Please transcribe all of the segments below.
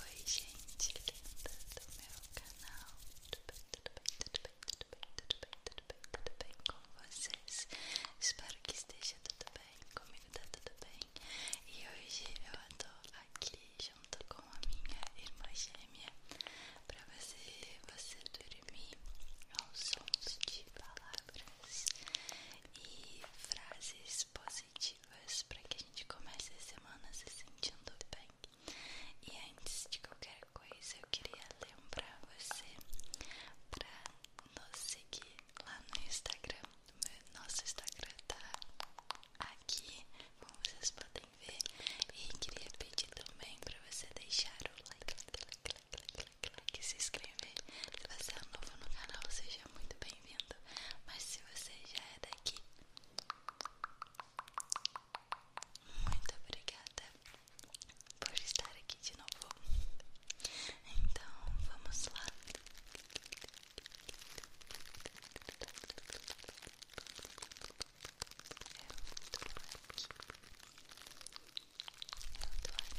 Oi gente linda do meu canal, tudo bem, tudo bem, tudo bem, tudo bem, tudo bem, tudo bem, tudo bem com vocês? Espero que esteja tudo bem, comigo tá tudo bem E hoje eu estou aqui junto com a minha irmã gêmea para você, você dormir aos sons de palavras e frases positivas para que a gente comece a semana se sentindo bem. E antes de qualquer coisa, eu queria lembrar você para nos seguir lá no Instagram. Nosso Instagram tá aqui, como vocês podem ver. E queria pedir também para você deixar o like, like, like, like, like, like, like, se inscrever. Se você é novo no canal, seja muito bem vindo Mas se você já é daqui, muito obrigada por estar aqui de novo. Então vamos lá. Eu tô aqui. Eu tô aqui.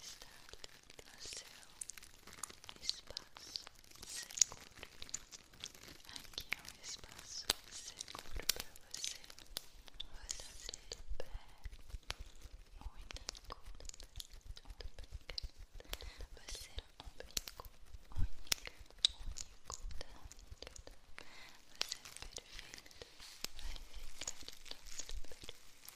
estar no seu espaço seguro. Aqui é um espaço seguro para você. Você se libera. Único. Você é único. Única. Único. Tanto. Você é perfeito. Vai ficar tudo perfeito.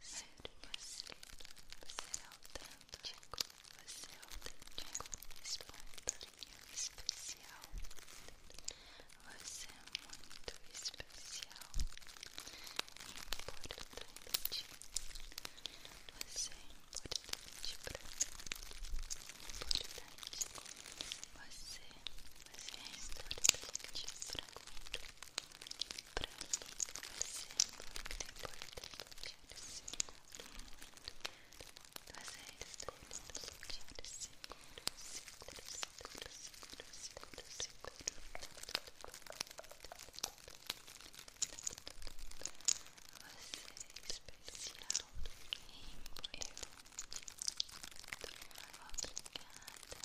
Ser você, você autêntico, você é autêntico, espontâneo, especial. Você é muito especial, importante. Você é importante pra mim, importante. Você, você é importante pra mim. Pra mim, você é muito importante. Quero ser muito. Você é seguro. Quero seguro, seguro, seguro, seguro, seguro, seguro. Você é especial. E eu. Obrigada.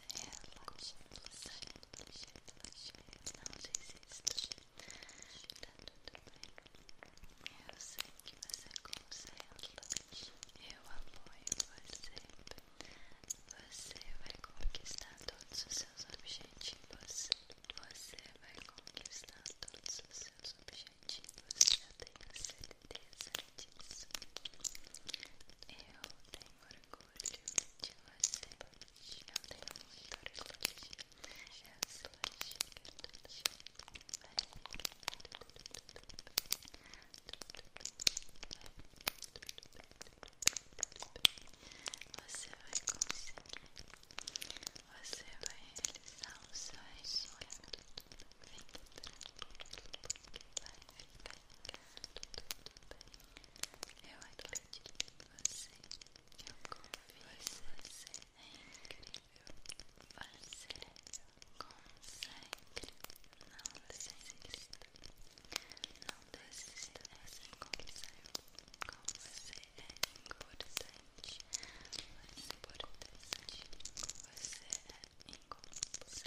Eu sei que você consegue. Eu apoio você. Você vai conquistar todos os seus objetivos. Você vai conquistar todos os seus objetivos. Eu tenho certeza disso. Eu tenho orgulho de você slush, eu tenho muito slush, é o slush que é tudo você vai conseguir, você vai realizar o seu sonho, vai ficar bem. Eu acredito você. Eu confio você. Você é incrível. Não desista. Não desista. Você consegue. Com você é importante. Mas importante. Você é incompetente.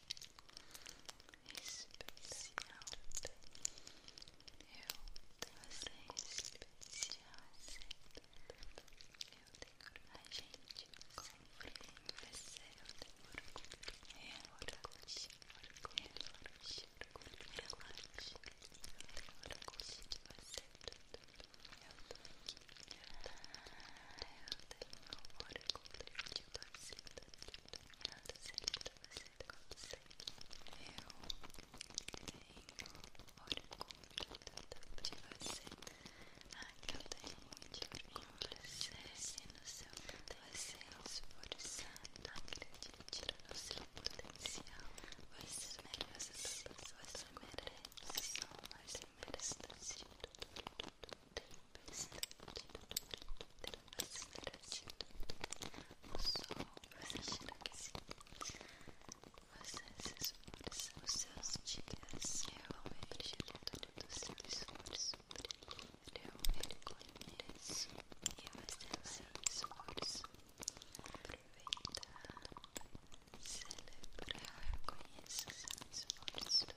especial eu você é especial eu tenho a gente compreende você eu tenho orgulho é orgulho orgulho orgulho relaxa eu tenho orgulho de você eu tô aqui eu tô aqui eu tenho da vida determinada seria pra você consegue eu tenho hora contribuída de você ah, que eu tenho muito orgulho você se no seu você é esforçada acredite no seu potencial você merece você merece são mais merece tudo, tudo, tudo o sol, você cheira que sim, você se esforça, os seus dias eu me prejudicando do seu esforço, eu me reconheço e você se esforço, aproveitar, celebrar, conheço seu esforço,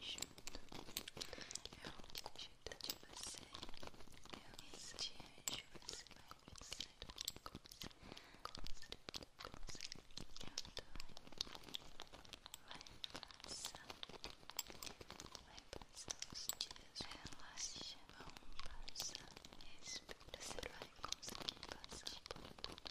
ajudo, eu cuido de você, eu te ajudo, você vai me sair com você, com você, com você, eu tô aí, vai passar, vai passar os dias, relaxa, vão passar, respira, você vai conseguir passar por tudo.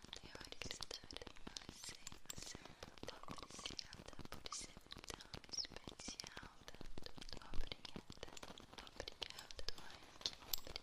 teorizadora, você sendo apreciada por ser tão especial, tanto obrigada, obrigada, que eu torci do seu lado, tanto bem sem você mesmo, tanto bem.